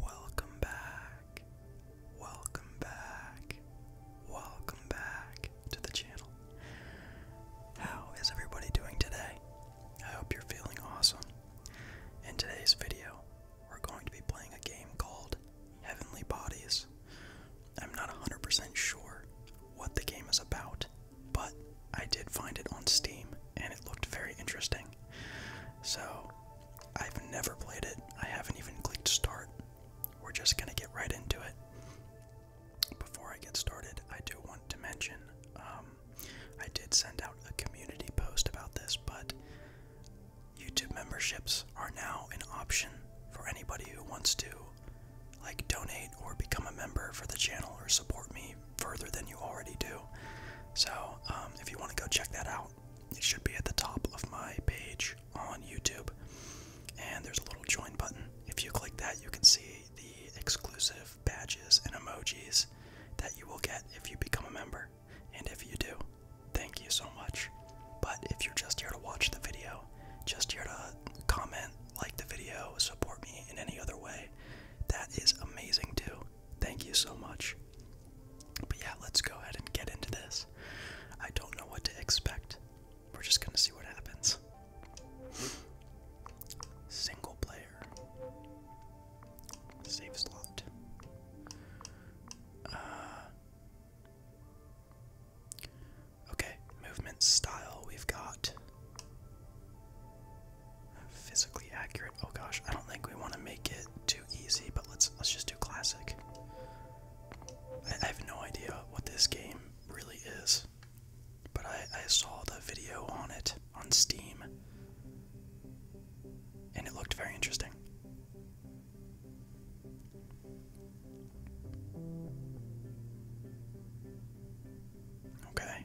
Welcome back. Welcome back. Welcome back to the channel. How is everybody doing today? I hope you're feeling awesome. In today's video, we're going to be playing a game called Heavenly Bodies. I'm not 100% sure what the game is about, but I did find it on Steam and it looked very interesting. So, I've never played it. I haven't even clicked start. We're just gonna get right into it. Before I get started, I do want to mention um, I did send out a community post about this, but YouTube memberships are now an option for anybody who wants to like donate or become a member for the channel or support me further than you already do. So um, if you want to go check that out, it should be at the top of my page on YouTube. And there's a little join button. If you click that, you can see the exclusive badges and emojis that you will get if you become a member. And if you do, thank you so much. But if you're just here to watch the video, just here to comment, like the video, support me in any other way, that is amazing too. Thank you so much. But yeah, let's go ahead and get into this. I don't know what to expect. We're just gonna see what happens. Single player. Save slot. Uh, okay, movement style. We've got Physically accurate. Oh gosh, I don't think we want to make it too easy, but let's let's just do classic. I, have no idea what this game really is, but I, I saw the video on it on Steam, and it looked very interesting. Okay,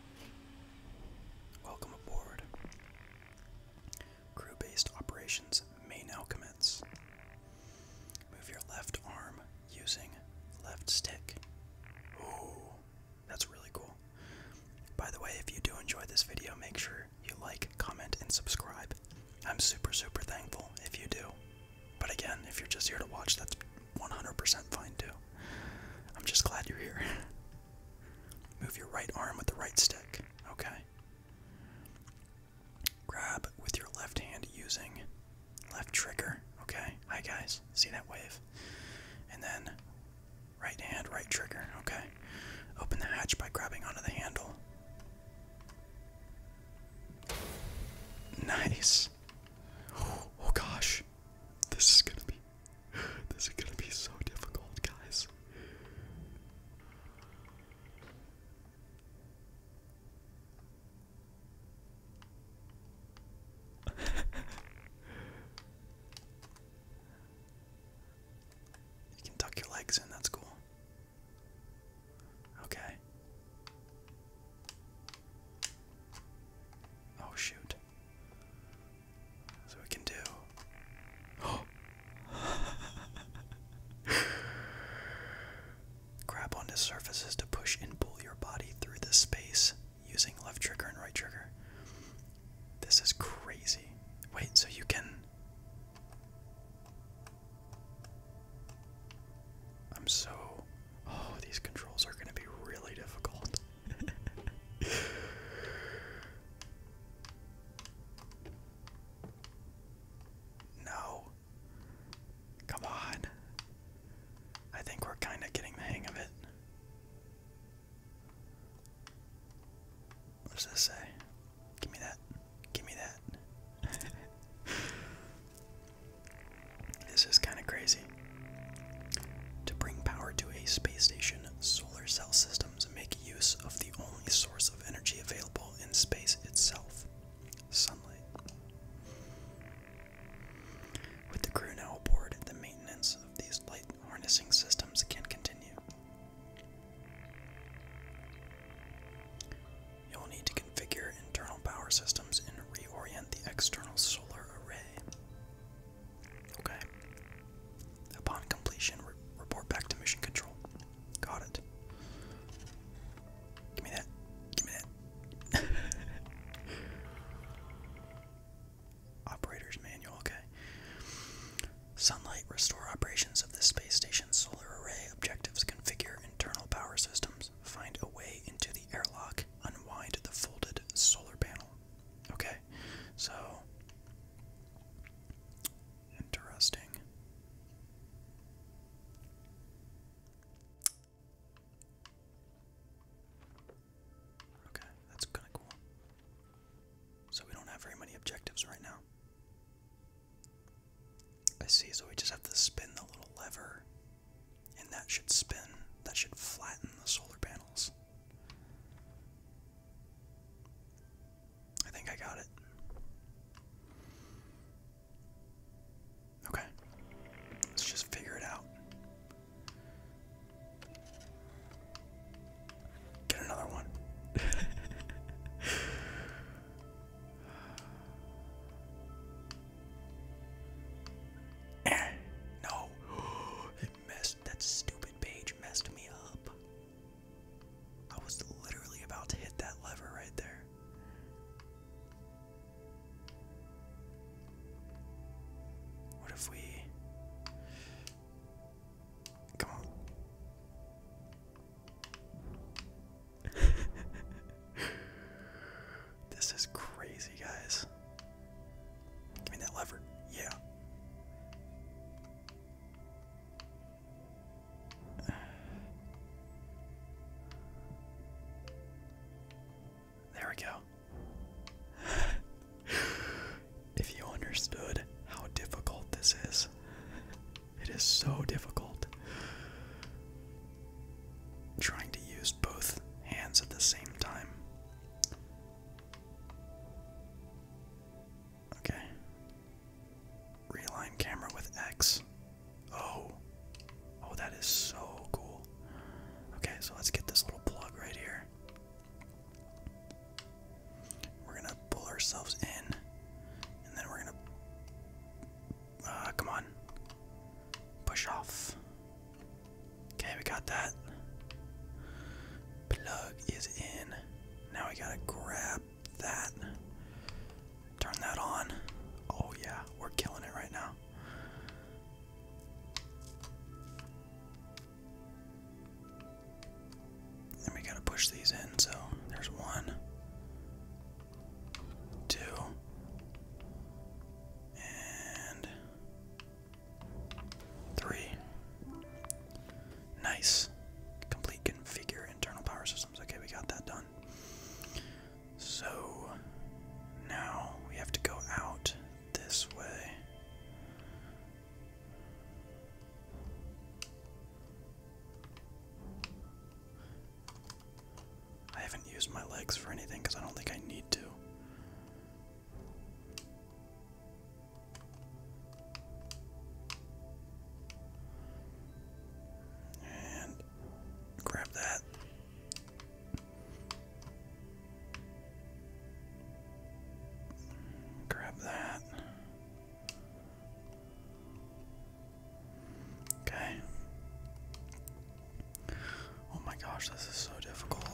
Welcome aboard. Crew based operations may now commence. Move your left arm using left stick. Ooh, that's really cool. By the way, if you do enjoy this video, make sure you like, comment, and subscribe. I'm super, super thankful if you do. But again, if you're just here to watch, that's 100% fine too. I'm just glad you're here. Move your right arm with the right stick. Okay. Grab with your left hand using left trigger. Okay. Hi, guys. See that wave? And then right hand, right trigger. Okay. Open the hatch by grabbing onto the handle. Nice. Oh, oh gosh. This is gonna be this is gonna be so difficult, guys. you can tuck your legs in, that's cool. Okay. Oh, shoot. So we can do. Oh. Grab onto surfaces to push and pull your body through this space using left trigger and right trigger. This is crazy. Wait, so you can. I'm so. Oh, these controls are going to be really difficult. no. Come on. I think we're kind of getting the hang of it. What does this say? Give me that. Give me that. this is kind of crazy. To bring power to a space station, solar cell systems make use of the only source of energy available in space itself sunlight. With the crew now aboard, the maintenance of these light harnessing systems can continue. You'll need to configure internal power systems and reorient the external solar array. Okay. Upon completion, report back to mission control. Got it. Give me that. Give me that. Operator's manual, okay. Sunlight, restore operations of the space station's solar array. Objectives, configure internal power systems. Find a way into the airlock. Unwind the folded solar panel. Okay, so interesting. Okay, that's kind of cool. So we don't have very many objectives right now. I see, so we just have to spin the little lever, and that should spin, that should flatten the solar panels. I think I got it. Okay. Let's just figure it out. Get another one. Eh, no. stupid that stupid page messed me up. I was literally about to hit that lever right there. What if we Come on. this is crazy, guys. Give me that lever. Yeah. There we go. if you understood how difficult this is, it is so difficult. Trying to use both hands at the same time. Okay. Reline camera with X. Oh. Oh, that is so cool. Okay, so let's get this little plug right here. We're gonna pull ourselves in, and then we're gonna. Uh, come on. Push off. Okay, we got that. Plug is in. Now we gotta grab that. Turn that on. Oh, yeah, we're killing it right now. And we gotta push these in, so there's one, two, and Three. Nice. Complete configure internal power systems. Okay, we got that done. So now we have to go out this way. I haven't used my legs for anything because I don't think I need to. And grab that. Grab that. Okay. Oh my gosh, this is so difficult.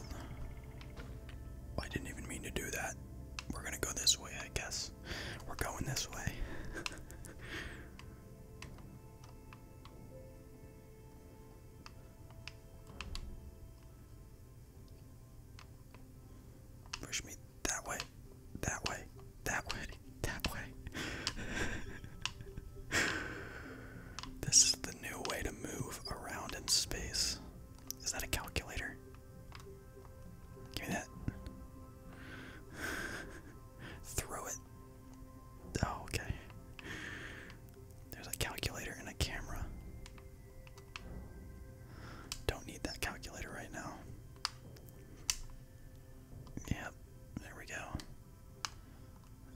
I didn't even mean to do that. We're gonna go this way, I guess. We're going this way. Push me that way, that way, that way, that way. this is the new way to move around in space. Is that a calculator? Give me that. Throw it. Oh, okay. There's a calculator and a camera. Don't need that calculator right now. Yep, there we go.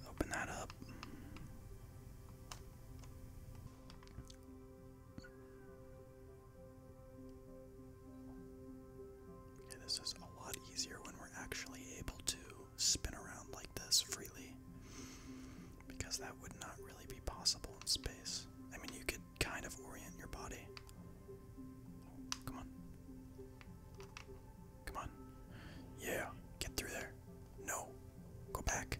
Open that up. Okay, this is a lot easier when we're actually able to spin around like this freely. Because that would not really be possible in space. I mean, you could kind of orient your body. Come on. Come on. Yeah, get through there. No. Go back.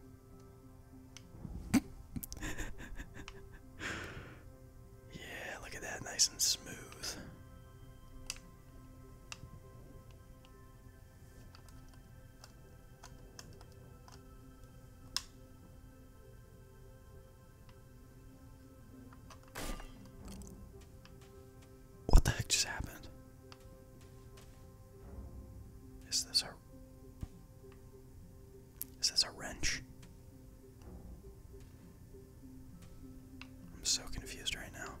yeah, look at that. Nice and smooth. What the heck just happened? Is this a Is this a wrench? I'm so confused right now.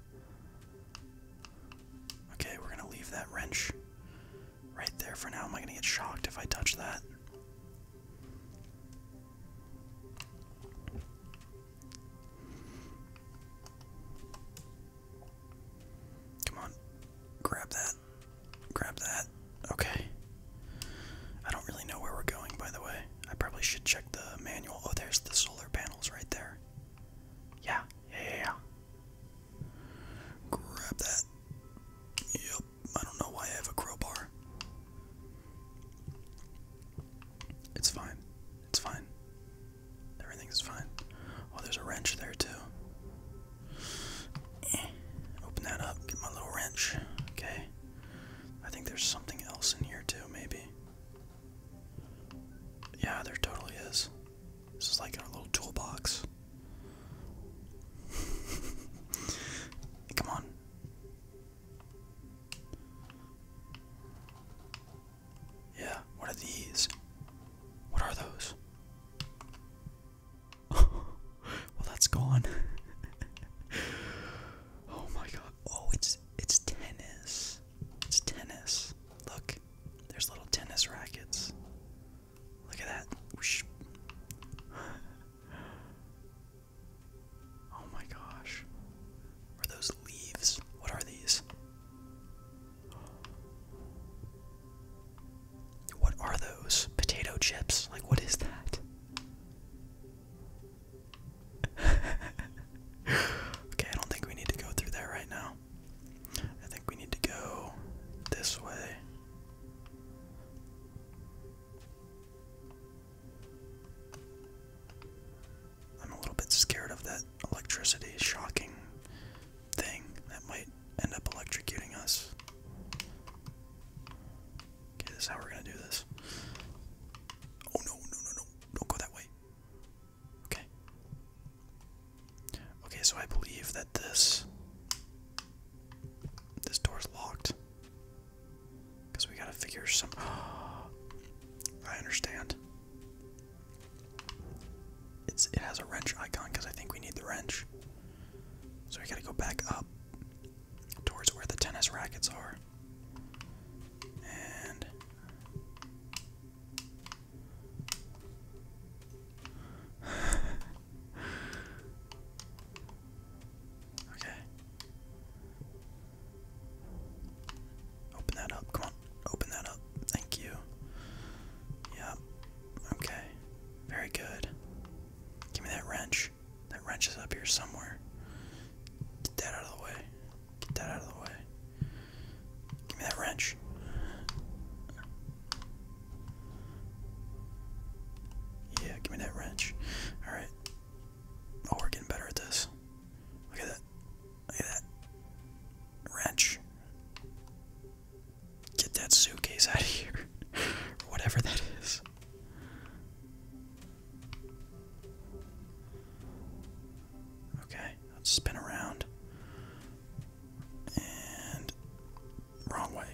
Okay, we're gonna leave that wrench right there for now. Am I gonna get shocked if I touch that? Come on. Grab that. Grab that. Okay. I don't really know where we're going, by the way. I probably should check the manual. Oh, there's the solar panels right there. Yeah, yeah. Grab that. Yep, I don't know why I have a crowbar. It's fine. It's fine. Everything's fine. Oh, there's a wrench there too. Eh. Open that up. Get my little wrench. Okay. I think there's something else in here too, maybe. Yeah, there totally is. This is like our little toolbox. Come on. Yeah, what are these? What are those? well, that's gone. oh my god. Oh, it's it's tennis. It's tennis. Look. There's little tennis rackets. Look at that. Whoosh. Oh my gosh. Are those leaves? What are these? What are those? Potato chips? Like, what is that? okay, I don't think we need to go through there right now. I think we need to go this way. I'm a little bit scared of that electricity shocking thing that might end up electrocuting us. Okay, this is how we're gonna do this. Oh no, no, no, no, don't go that way. Okay. Okay, so I believe that this this door's locked. Because we gotta figure some I understand. It's it has a wrench icon because I think we need the wrench. So we gotta go back up towards where the tennis rackets are. And okay. Open that up. Come on. Open that up. Thank you. Yeah. Okay. Very good. Give me that wrench. That wrench is up here somewhere. Get that out of the way. Get that out of the way. Give me that wrench. Yeah, give me that wrench. Alright. Oh, we're getting better at this. Look at that. Look at that. Wrench. Get that suitcase out of here. Whatever that is. Okay, let's spin around. And. Wrong way.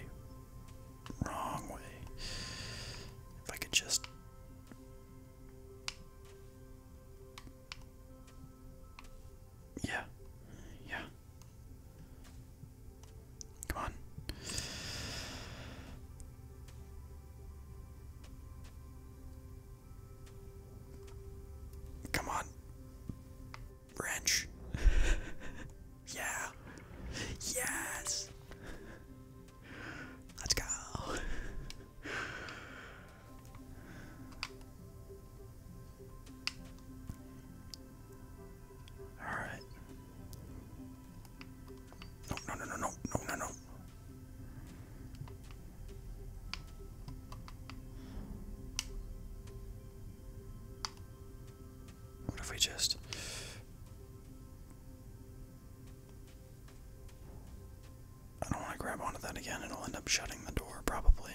Wrong way. If I could just. Yeah. Yeah. Come on. Come on. Branch. yeah. Yes. Let's go. Alright. No, no, no, no, no, no, no, What if we just. I don't want to grab onto that again, it'll end up shutting the door, probably.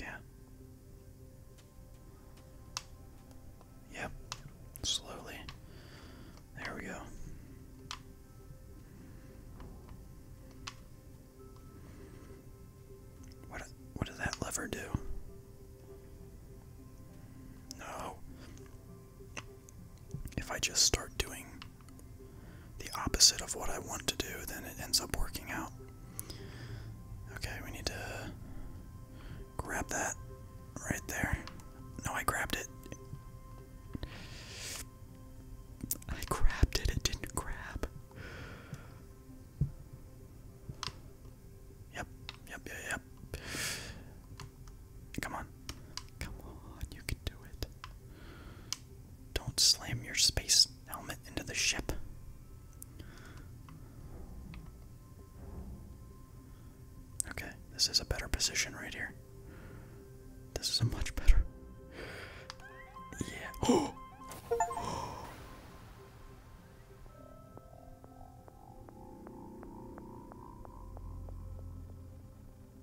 Yeah. Yep. Slowly. There we go. What what does that lever do? No if I just start doing the opposite of what I want to do, then it ends up working out. Okay, we need to grab that right there. No, I grabbed it. I grabbed it, it didn't grab. Yep, yep, yep, yep. Come on. Come on, you can do it. Don't slam your space helmet into the ship. Okay, this is a better position right here. This is a much better. Yeah.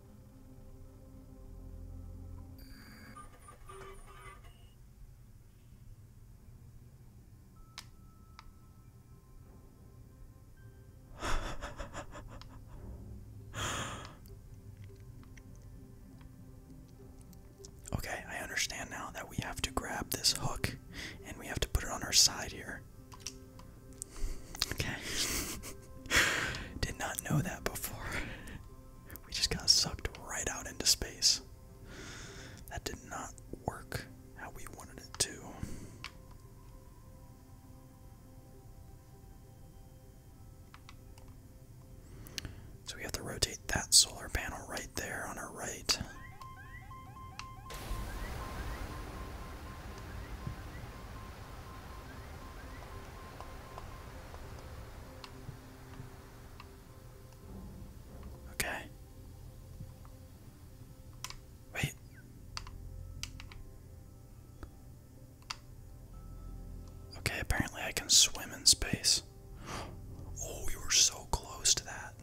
okay, I understand now that we have to grab this hook and we have to put it on our side here. Okay. Did not know that before. We just got sucked right out into space. That did not work how we wanted it to. So we have to rotate that solar panel right there on our right. Okay. Wait. Okay, apparently I can swim in space. Oh, we were so close to that.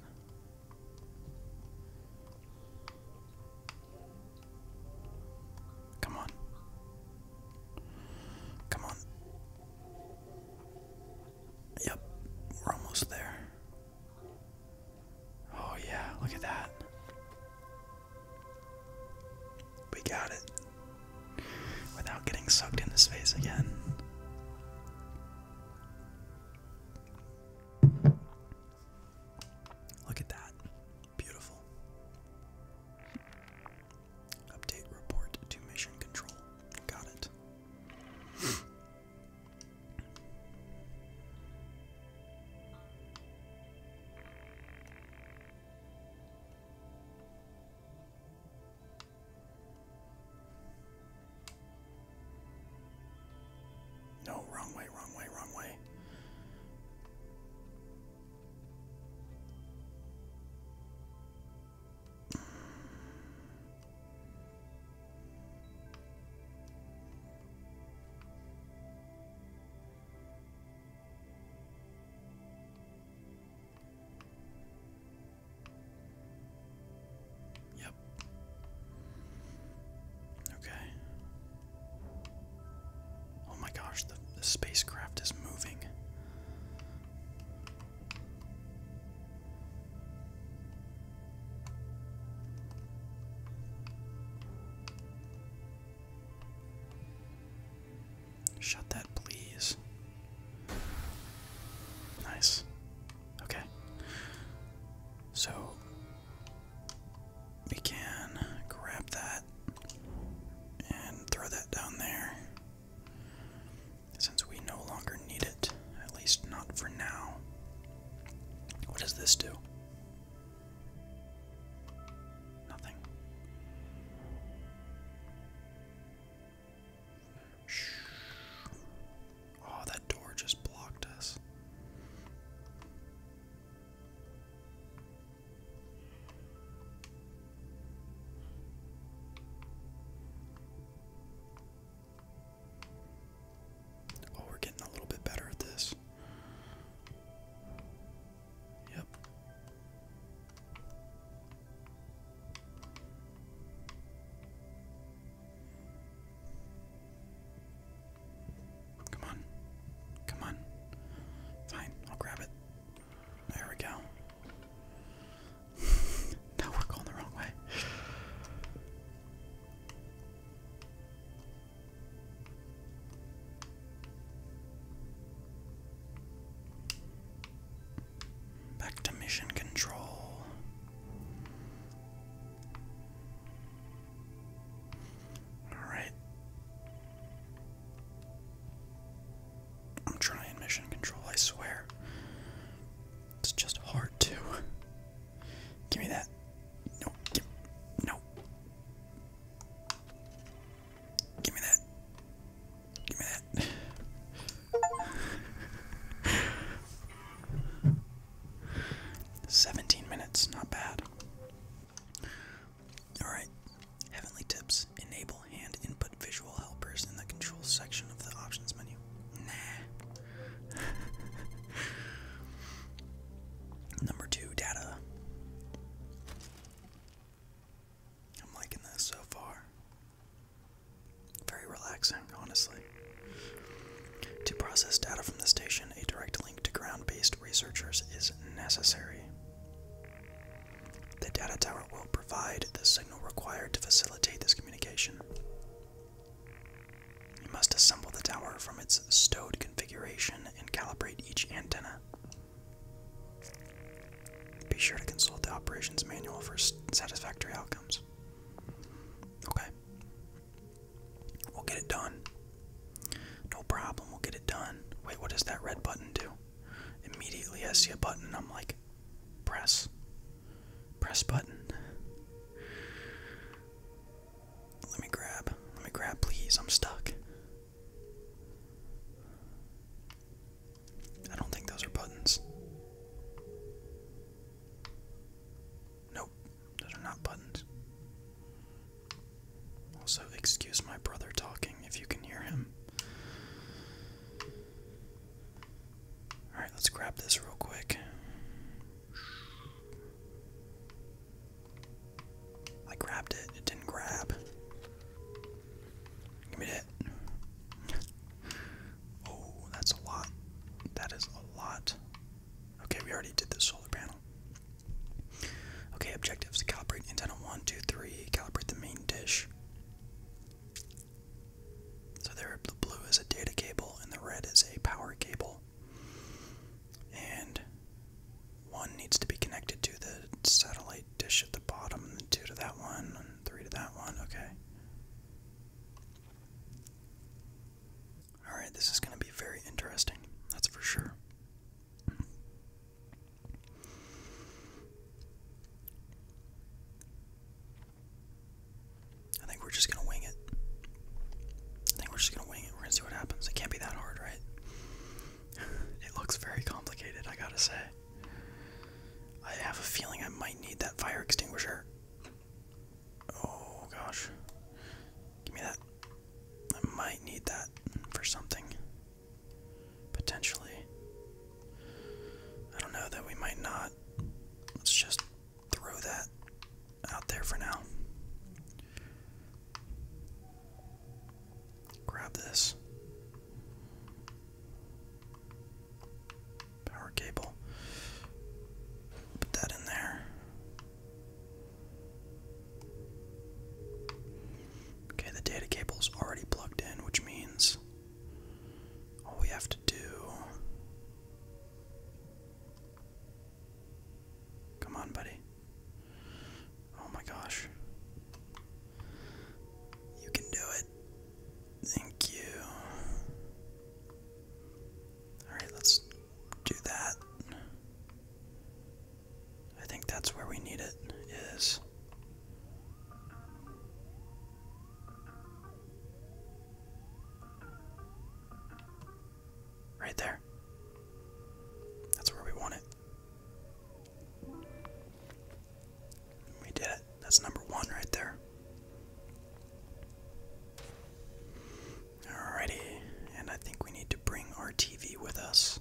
Come on. Come on. Yep, we're almost there. Oh, yeah, look at that. We got it. Without getting sucked into space again. Look at that. Beautiful. Update report to mission control. Got it. No, wrong way, wrong Yep. Okay. Oh my gosh, the, spacecraft is moving. Shut that, please. Nice. Okay. So, we can grab that and throw that down there since we no longer need it, at least not for now. What does this do? Nothing. Oh, that door just blocked us. Oh, we're getting a little bit better at this. Yep. Come on. Come on. Fine, I'll grab it. There we go. now we're going the wrong way. Back to mission control. All right. I'm trying mission control, I swear. It's just hard to. Give me that. No. no. Give me that. Give me that. 17 minutes, not bad. Alright, Heavenly Tips. Enable hand input visual helpers in the controls section of the options menu. Nah. Number two, data. I'm liking this so far. Very relaxing, honestly. To process data from the station, a direct link to ground based researchers is necessary. The data tower will provide the signal required to facilitate this communication. You must assemble the tower from its stowed configuration and calibrate each antenna. Be sure to consult the operations manual for satisfactory outcomes. Okay. We'll get it done. No problem, we'll get it done. Wait, what does that red button do? Immediately I see a button, I'm like, press. Press button. Let me grab. Let me grab, please. I'm stuck. I don't think those are buttons. Nope, those are not buttons. Also, excuse my brother talking if you can hear him. Alright, let's grab this real quick. I grabbed it, it didn't grab. Give me that. oh, that's a lot. That is a lot. Okay, we already did the solar panel. Okay, objectives. Calibrate antenna 1, 2, 3. Calibrate the main dish. So there, the blue is a data cable and the red is a power cable. And one needs to be connected to the satellite dish at the bottom, and two to that one, and three to that one. Okay. Alright, this is going to be very interesting. That's for sure. I think we're just gonna wing it. I think we're just gonna wing it. We're gonna see what happens. It can't be that hard, right? It looks very complicated, I gotta say. I have a feeling I might need that fire extinguisher. Oh gosh. Give me that. I might need that for something. Potentially. I don't know that we might not. Let's just throw that out there for now. Grab this. Power cable. Put that in there. Okay, the data cable is already plugged in, which means all we have to do. Come on, buddy. Oh my gosh. You can do it. Thank you. Alright, let's do that. I think that's where we need it, is right there. That's where we want it. We did it. That's number one right there. Alrighty, and I think we need to bring our TV with us.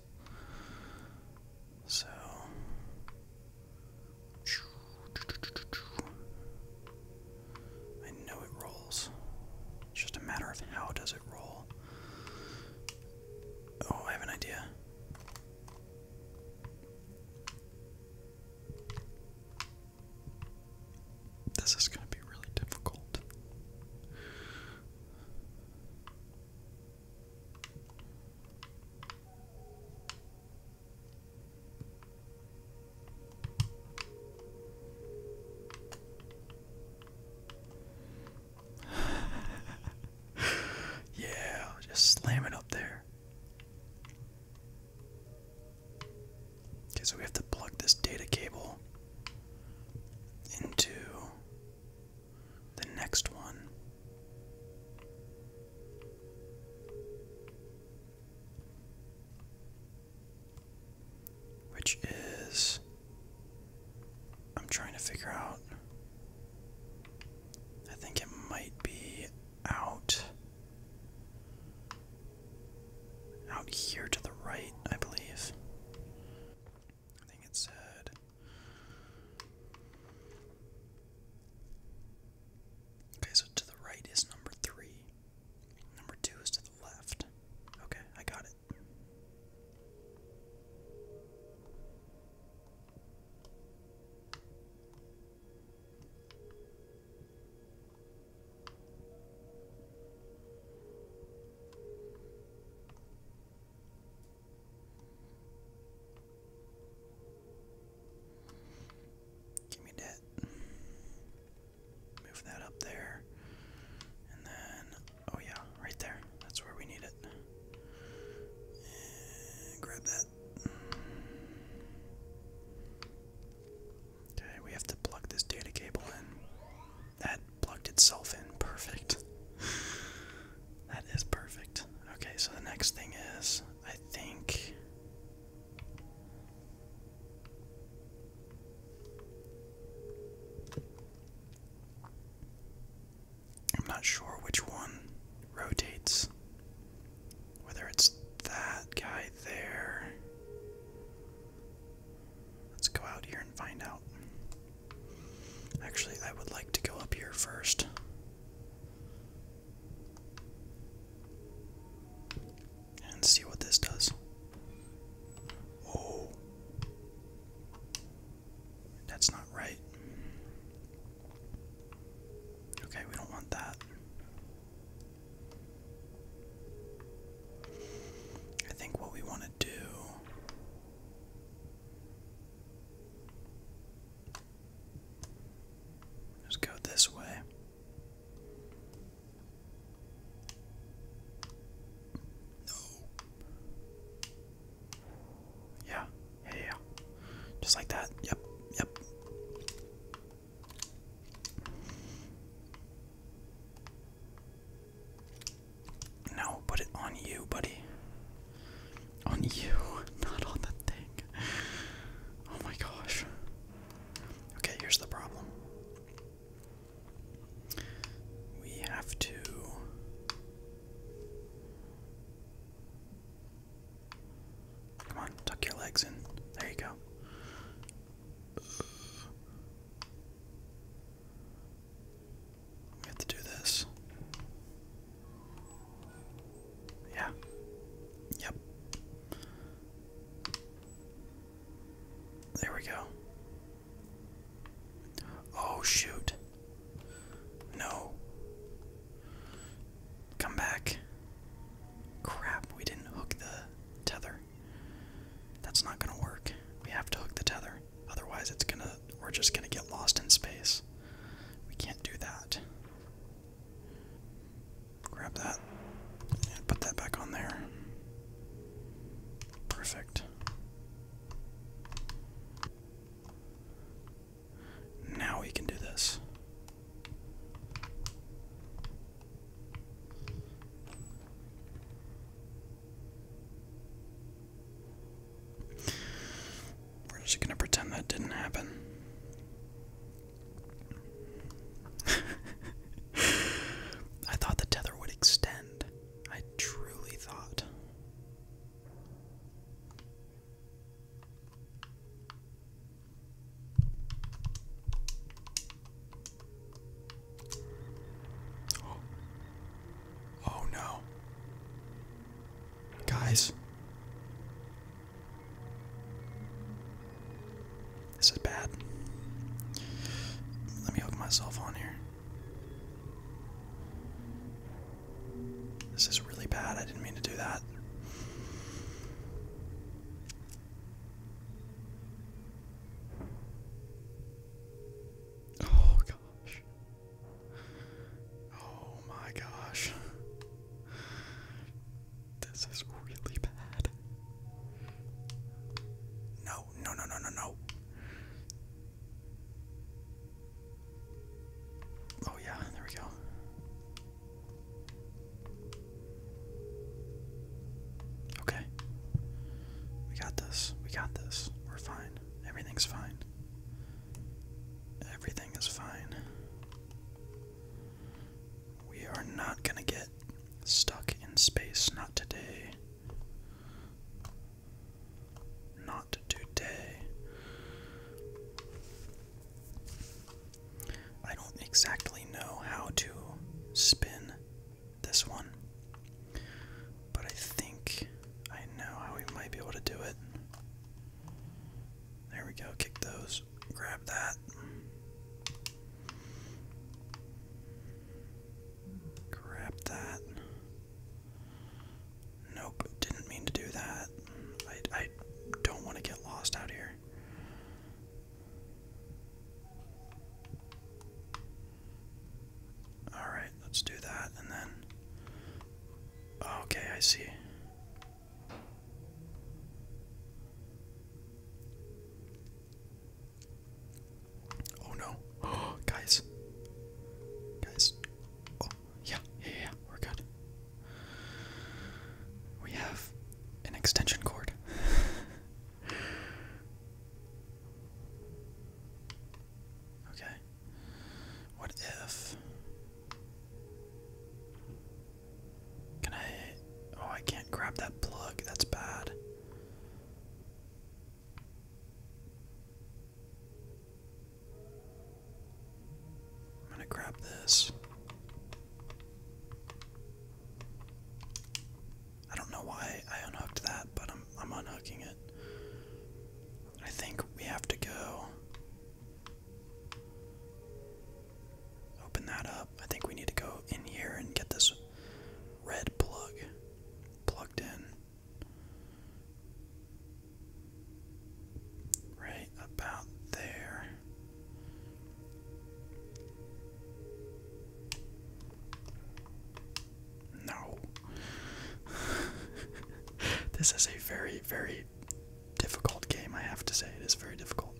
So I know it rolls. It's just a matter of how does it roll. Oh, I have an idea. This is going to be really difficult. yeah, just slam it up there. Okay, so we have to plug this data cable into the next one. Which is. I'm trying to figure out. I think it might be out. Out here to the right, I believe. I think it said. Okay, so to the right is number three. Number two is to the left. Okay, I got it. Give me that. Move that up there. And then, oh yeah, right there. That's where we need it. grab that. Okay, we have to plug this data cable in. That plugged itself in. Perfect. that is perfect. Okay, so the next thing is, I think. I'm not sure which one rotates. Whether it's that guy there. Let's go out here and find out. Actually, I would like to go up here first. And see what this does. Oh. That's not right. Okay, we don't want that. I think what we want to do just go this way. No. Yeah, yeah, yeah. Just like that. Yep, yep. No, put it on you, buddy. On you, not on the thing. Oh my gosh. Okay, here's the problem. We have to. Come on, tuck your legs in. There you go. We have to do this. Yeah. Yep. There we go. Oh, shoot. No. Come back. Crap, we didn't hook the tether. That's not gonna work. We have to hook the tether. Otherwise, it's gonna we're just gonna get lost in space. We can't do that. Grab that and put that back on there. Perfect. Now we can do this. We're just gonna pretend that didn't happen. I thought the tether would extend. I truly thought. Oh. oh no. Guys. This is bad. Let me hook myself on here. This is really bad. I didn't mean to do that. Oh, Oh my gosh. This is really bad. No, no, no, no, no, no. Oh, yeah, there we go. Okay. We got this. We got this. We're fine. Everything's fine. Everything is fine. We are not gonna get stuck in space, not today. Not today. I don't exactly know how to spin this one. But I think I know how we might be able to do it. There we go, kick those, grab that. Grab that. Nope, didn't mean to do that. I, I don't want to get lost out here. Alright, let's do that and then Okay, I see. Oh no. guys. Guys. Oh, yeah, yeah, we're good. We have an extension cord. okay. What if? Can I? Oh, I can't grab that plug. That's bad. I'm going to grab this. I don't know why I unhooked that, but I'm I'm unhooking it. I think we have to go open that up. I think we need to go in here and get this red plug plugged in. Right about there. No. this is a very, very difficult game, I have to say. It is very difficult.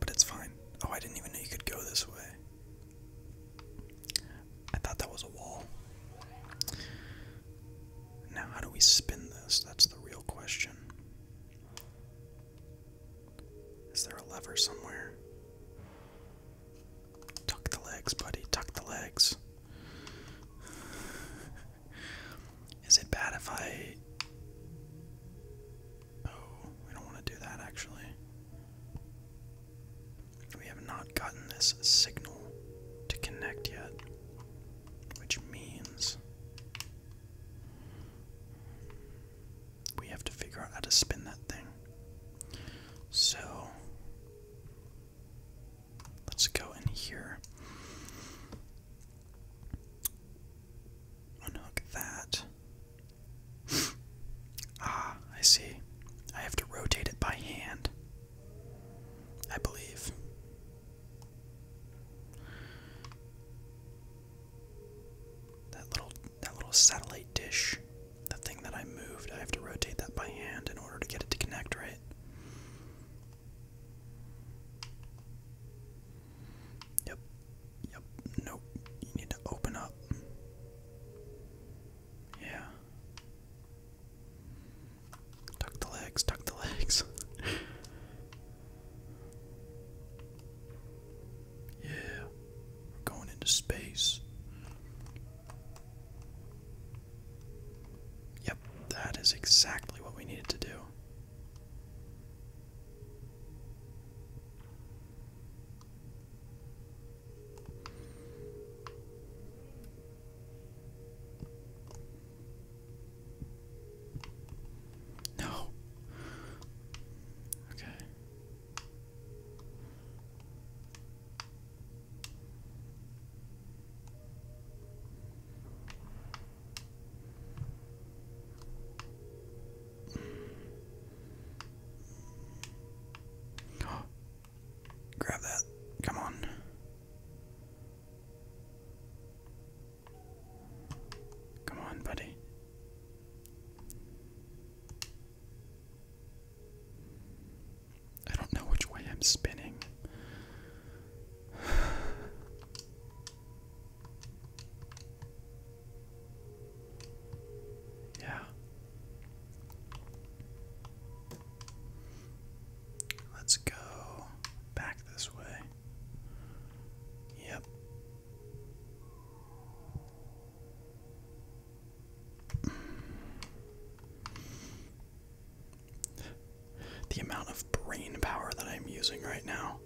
But it's fine. Oh, I didn't even know you could go this way. I thought that was a wall. Now, how do we spin this? That's the real question. Is there a lever somewhere? Tuck the legs, buddy. Tuck the legs. Is it bad if I. Oh, we don't want to do that actually. We have not gotten this signal to connect yet, which means we have to figure out how to spin that thing. So, Let's go in here. Unhook that. ah, I see. I have to rotate it by hand. I believe. That little that little satellite dish the thing that I moved, I have to rotate that by hand in order to get it to connect, right? Yep. Yep. Nope. You need to open up. Yeah. Tuck the legs, tuck the legs. yeah. We're going into space. Yep, that is exactly what we needed to do. No. Okay. Grab that. Come on. Come on, buddy. I don't know which way I'm spinning. yeah. Let's go back this way. Yep. The amount of brain power that I'm using right now.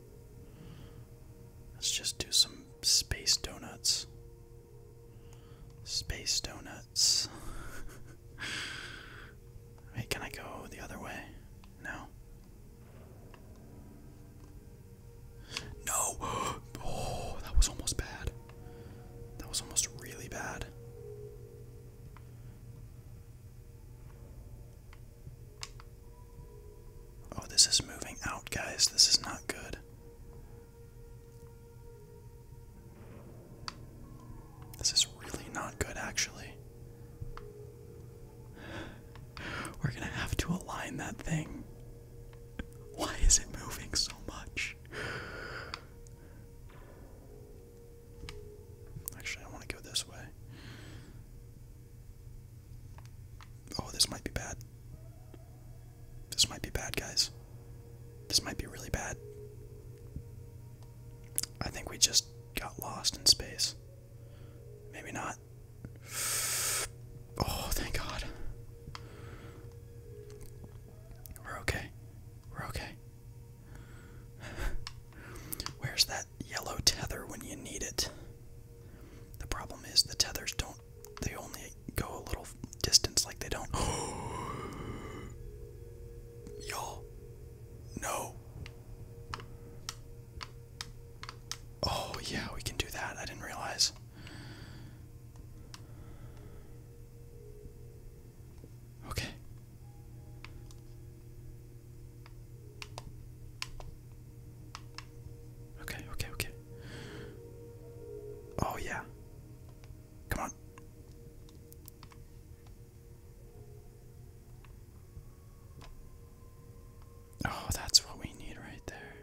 Let's just do some space donuts. Space donuts. Wait, can I go the other way? No. No! Oh, that was almost bad. That was almost really bad. Oh, this is moving out, guys. This is not good. This is really not good, actually. We're gonna have to align that thing. Why is it moving so much? Actually, I want to go this way. Oh, this might be bad. This might be bad, guys. This might be really bad. I think we just got lost in space. Maybe not. Oh, thank God. We're okay. We're okay. Where's that yellow tether when you need it? The problem is the tethers don't, they only go a little distance, like they don't. Y'all, no. Oh, yeah, we can do that. I didn't realize. Okay. Okay, okay, okay. Oh, yeah. Come on. Oh, that's what we need right there.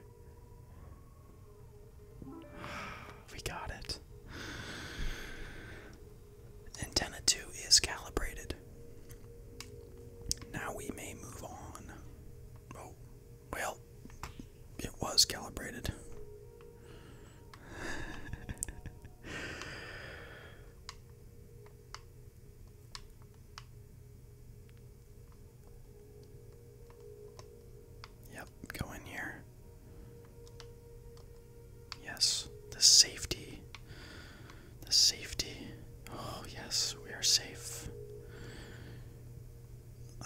We got it. Antenna 2 is calibrated. Now we may move on. Oh, well, it was calibrated. yep, go in here. Yes, the safety. The safety. Oh, yes, we are safe.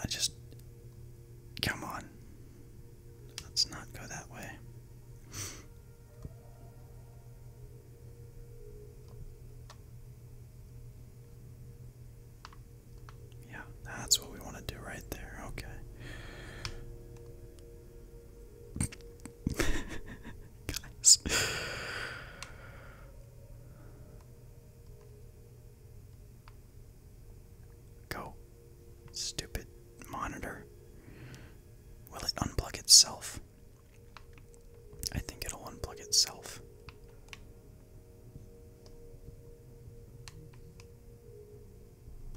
I just. Come on. Let's not go that way. yeah, that's what we want to do right there. Okay. Guys. Go. Stupid monitor. Will it unplug itself? I think it'll unplug itself.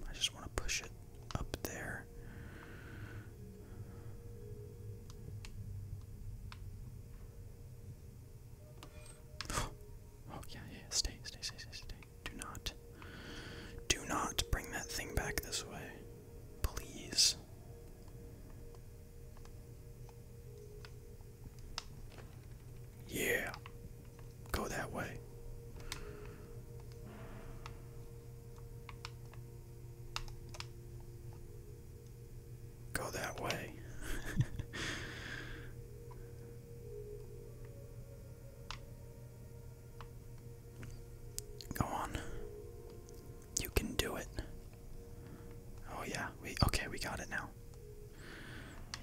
I just want to push it up there. Oh yeah, yeah, stay, stay, stay, stay, stay. Do not, do not bring that thing back this way, please. Yeah, go that way. Go that way. go on. You can do it. Oh yeah, we okay, we got it now.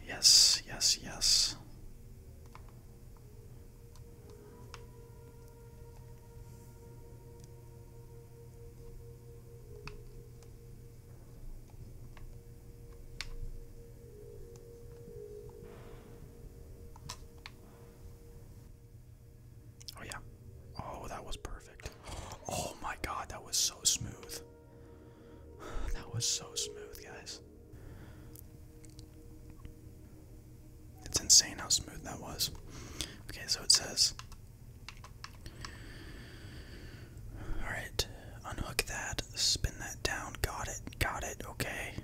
Yes, yes, yes. Oh, yeah. Oh, that was perfect. Oh my god, that was so smooth. That was so smooth, guys. It's insane how smooth that was. Okay, so it says. Alright, unhook that, spin that down. Got it, got it, okay.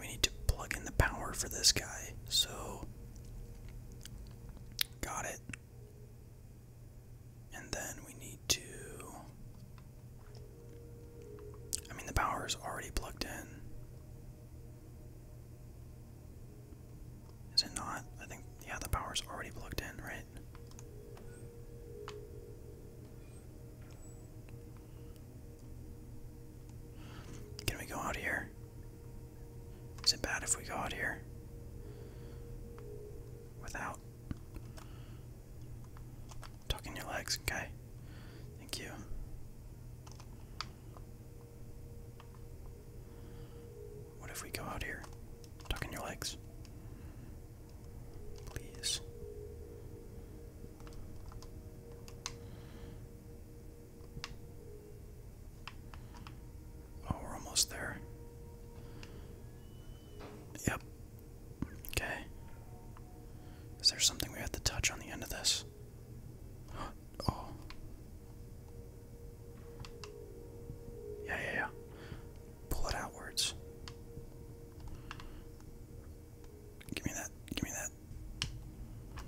We need to plug in the power for this guy, so. Got it. And then we need to. I mean, the power is already plugged in. Is it not? I think, yeah, the power's already plugged in, right? Can we go out here? Is it bad if we go out here? Without. Tucking your legs, okay? Thank you. What if we go out here? Tuck your legs. Please. Oh, we're almost there. Yep. Okay. Is there something we have to touch on the end of this? Oh. Yeah, yeah, yeah. Pull it outwards. Give me that. Give me that.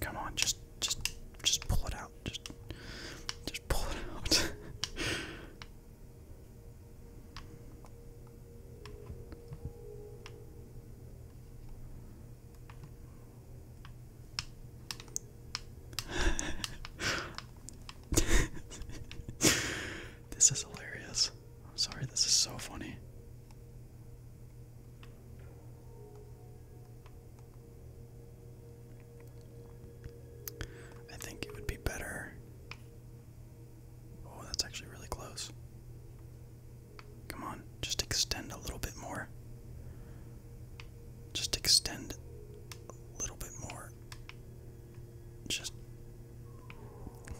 Come on, just just just pull it out. Just just pull it out. this is hilarious. I'm sorry, this is so funny. I think it would be better Oh, that's actually really close. Come on, just extend a little bit more. Just extend a little bit more. Just.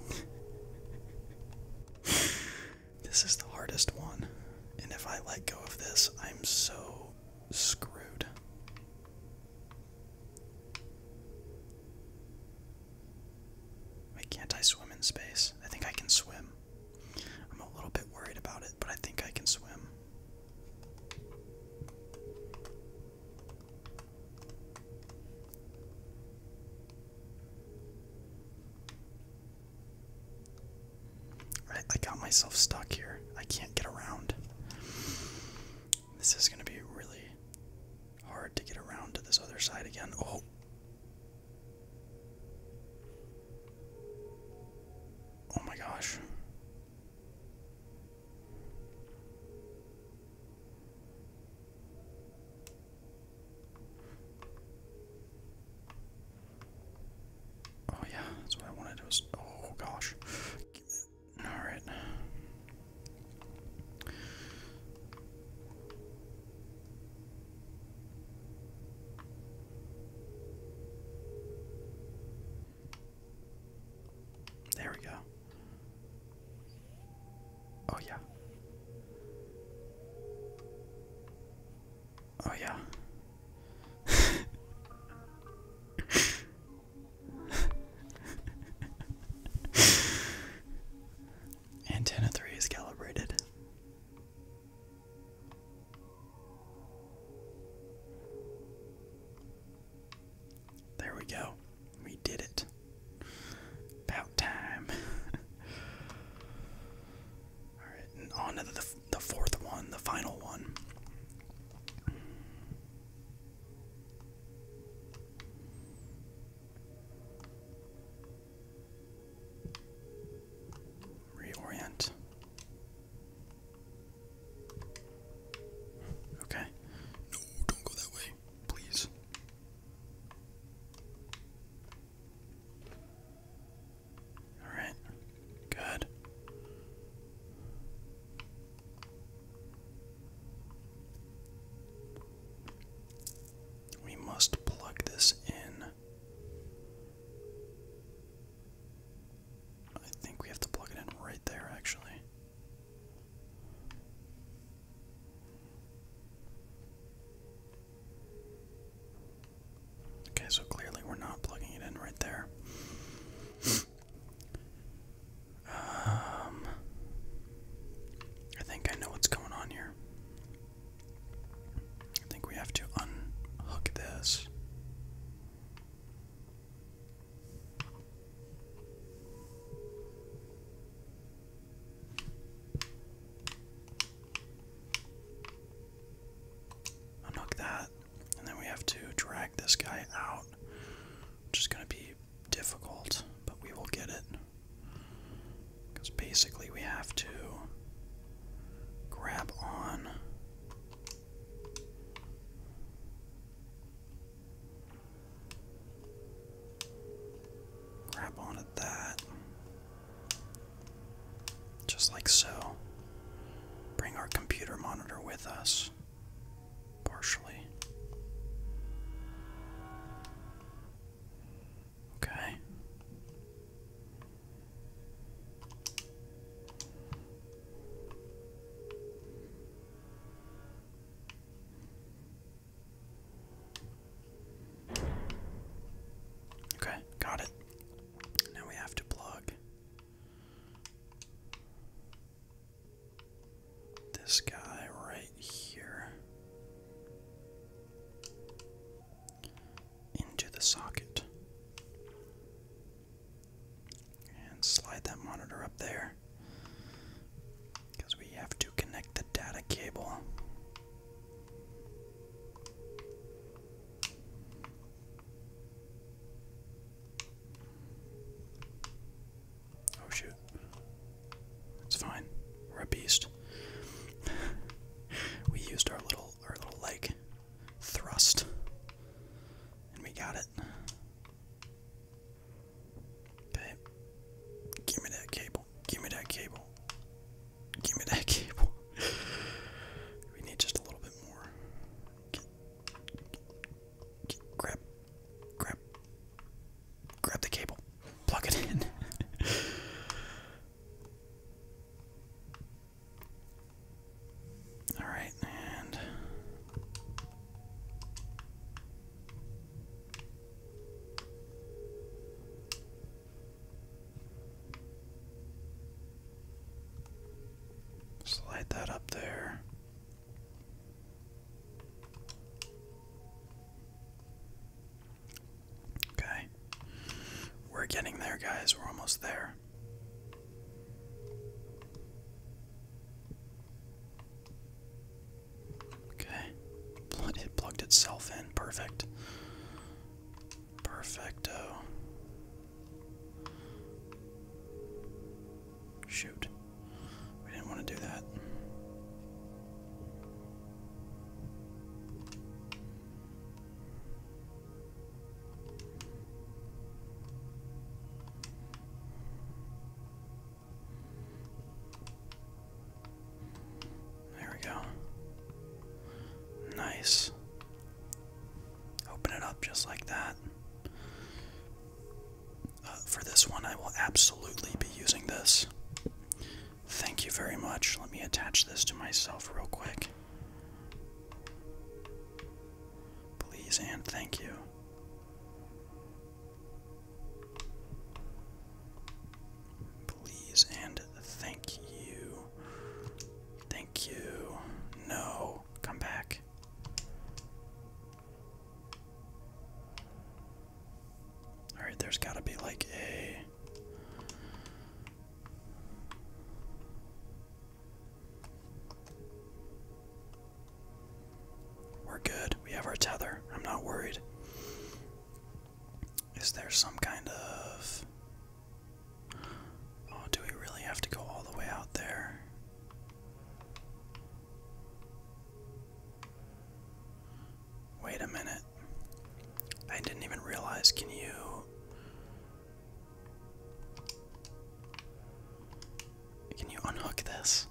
this is the hardest one. And if I let go of this, I'm so screwed. Wait, can't I swim in space? I think I can swim. I'm a little bit worried about it, but I think I can swim. Right, I got myself stuck here. I can't get around. This is going to be really Hard to get around to this other side again. Oh. Oh my gosh. Oh yeah, that's what I wanted to oh gosh. Alright. There we go. Oh, yeah. Oh, yeah. Antenna 3 is calibrated. There we go. We did it. About time. Alright, and on to the, the fourth one, the final one. Reorient. Okay. No, don't go that way, please. All right. Good. We must plug this in. I think we have to plug it in right there, actually. Okay, so clearly we're not plugging it in right there. Um, I think I know what's going on here. I think we have to unhook this. Unhook that, and then we have to drag this guy out, which going to be difficult, but we will get it. Because basically we have to grab on. Grab on at that. Just like so. Bring our computer monitor with us. Partially. Okay. Okay, got it. Now we have to plug this guy right here into the socket and slide that monitor up there because we have to connect the data cable. Oh shoot. It's fine. We're a beast. we used our little our little leg thrust. And we got it. Okay. Give me that cable. Give me that cable. Give me that cable. we need just a little bit more. grab. Grab grab the cable, plug it in. All right, and slide that up there. Okay. We're getting there, guys. We're almost there. Okay. It plugged itself in. Perfect. Perfecto. Shoot. We didn't want to do that. There we go. Nice. Open it up just like that. Uh, for this one, I will absolutely be using this. Thank you very much. Let me attach this to myself real quick. Please and thank you. Please and thank you. Thank you. No, come back. Alright, there's gotta be like a. We're good. We have our tether. I'm not worried. Is there some kind of. Oh, do we really have to go all the way out there? Wait a minute. I didn't even realize. Can you. Can you unhook this?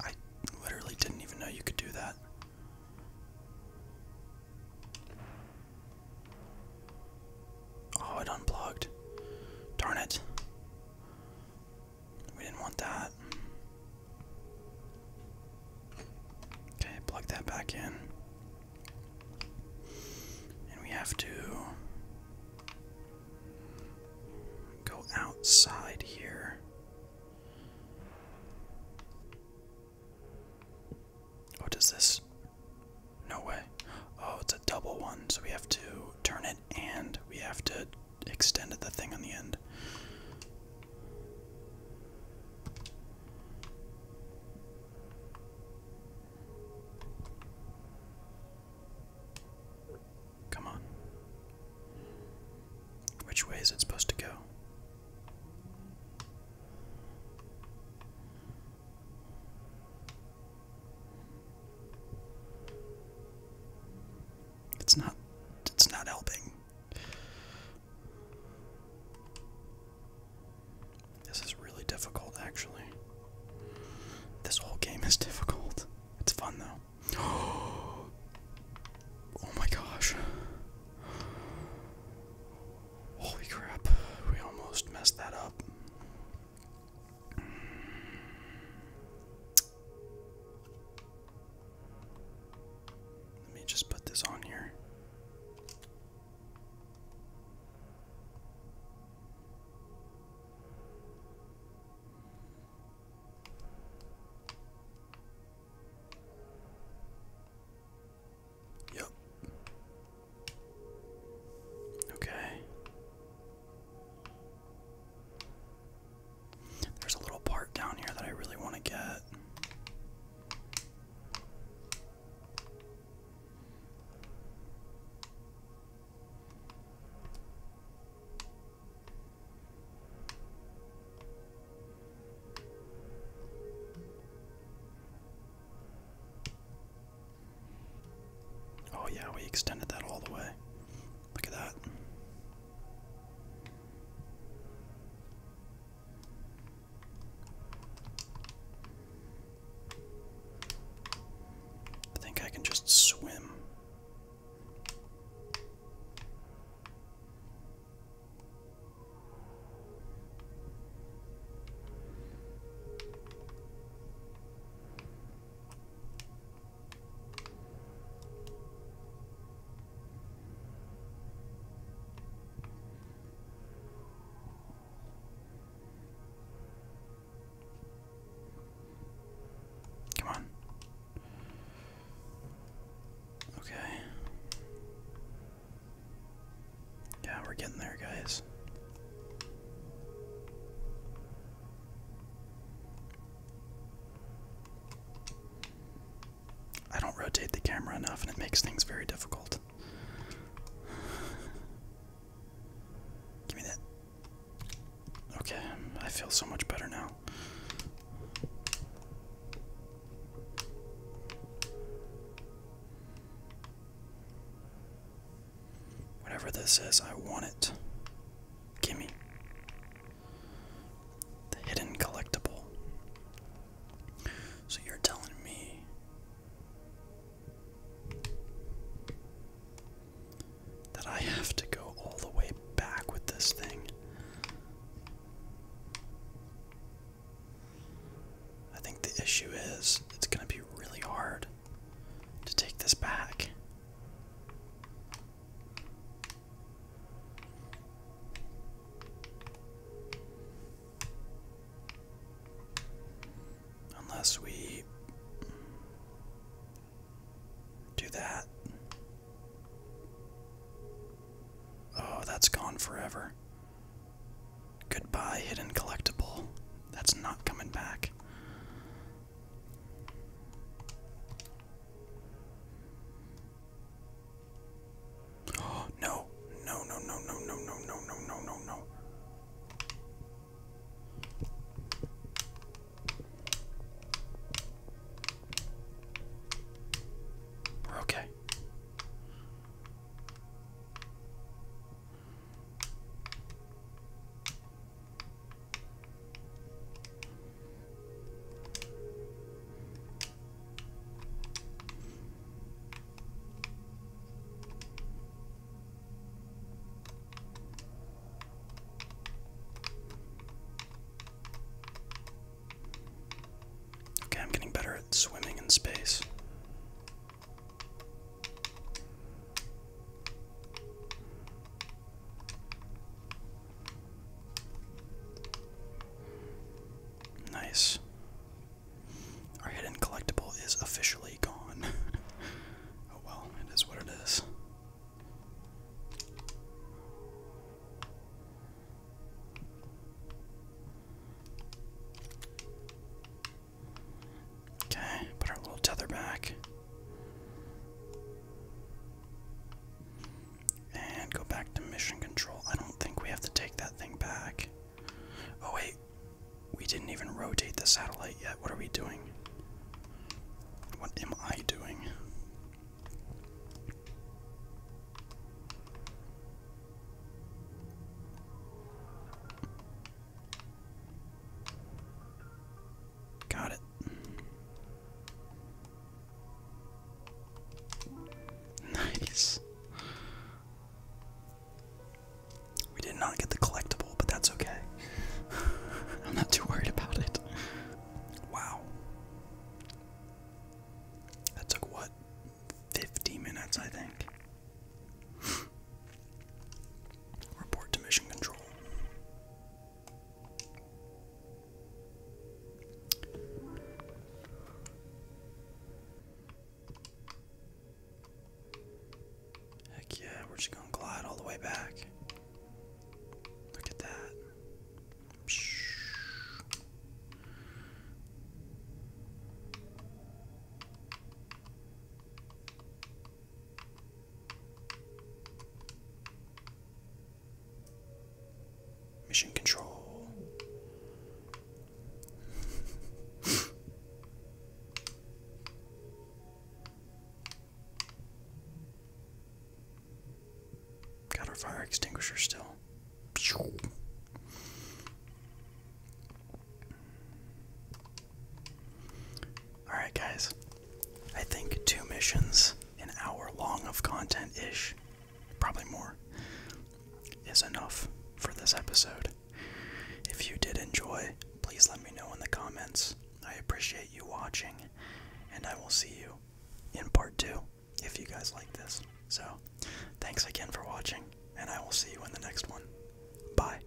I literally didn't even know you could do that. Oh, it unplugged. Darn it. We didn't want that. Okay, plug that back in. And we have to go outside here. What this? No way. Oh, it's a double one, so we have to turn it and we have to extend the thing on the end. Come on. Which way is it supposed to go? It's not it's not helping. This is really difficult actually. This whole game is difficult. It's fun though. Oh my gosh. Holy crap. We almost messed that up. Let me just put this on here. Yep. Okay. There's a little part down here that I really want to get. Oh, yeah, we extended that all the way. Look at that. I think I can just swim. Come on. Okay. Yeah, we're getting there, guys. I don't rotate the camera enough and it makes things very difficult. Give me that. Okay, I feel so much better now. Whatever this is, I want it. Gimme. The hidden collectible. So you're telling me that I have to go all the way back with this thing. I think the issue is it's going to be really hard to take this back. Unless we do that. Oh, that's gone forever. Goodbye, hidden collectible. That's not coming back. No, no, no, no, no, no, no, no, no, no, no, no. We're okay. Okay, I'm getting better at swimming in space. Nice. Our hidden collectible is officially gone. oh well, it is what it is. Okay, put our little tether back. And go back to mission control. I don't think we have to take that thing back. Oh, wait. We didn't even rotate the satellite yet. What are we doing? What am I doing? Got it. Nice. We did not get the collectible, but that's okay. I'm not too worried about it. Wow. That took what? 50 minutes, I think. Report to mission control. Heck yeah, we're just gonna glide all the way back. Look at that. Mission control. Got our fire extinguisher still. Alright, guys. I think two missions, an hour long of content ish, probably more, is enough for this episode. If you did enjoy, please let me know in the comments. I appreciate you watching, and I will see you in part two if you guys like this. So, thanks again for watching, and I will see you in the next one. Bye.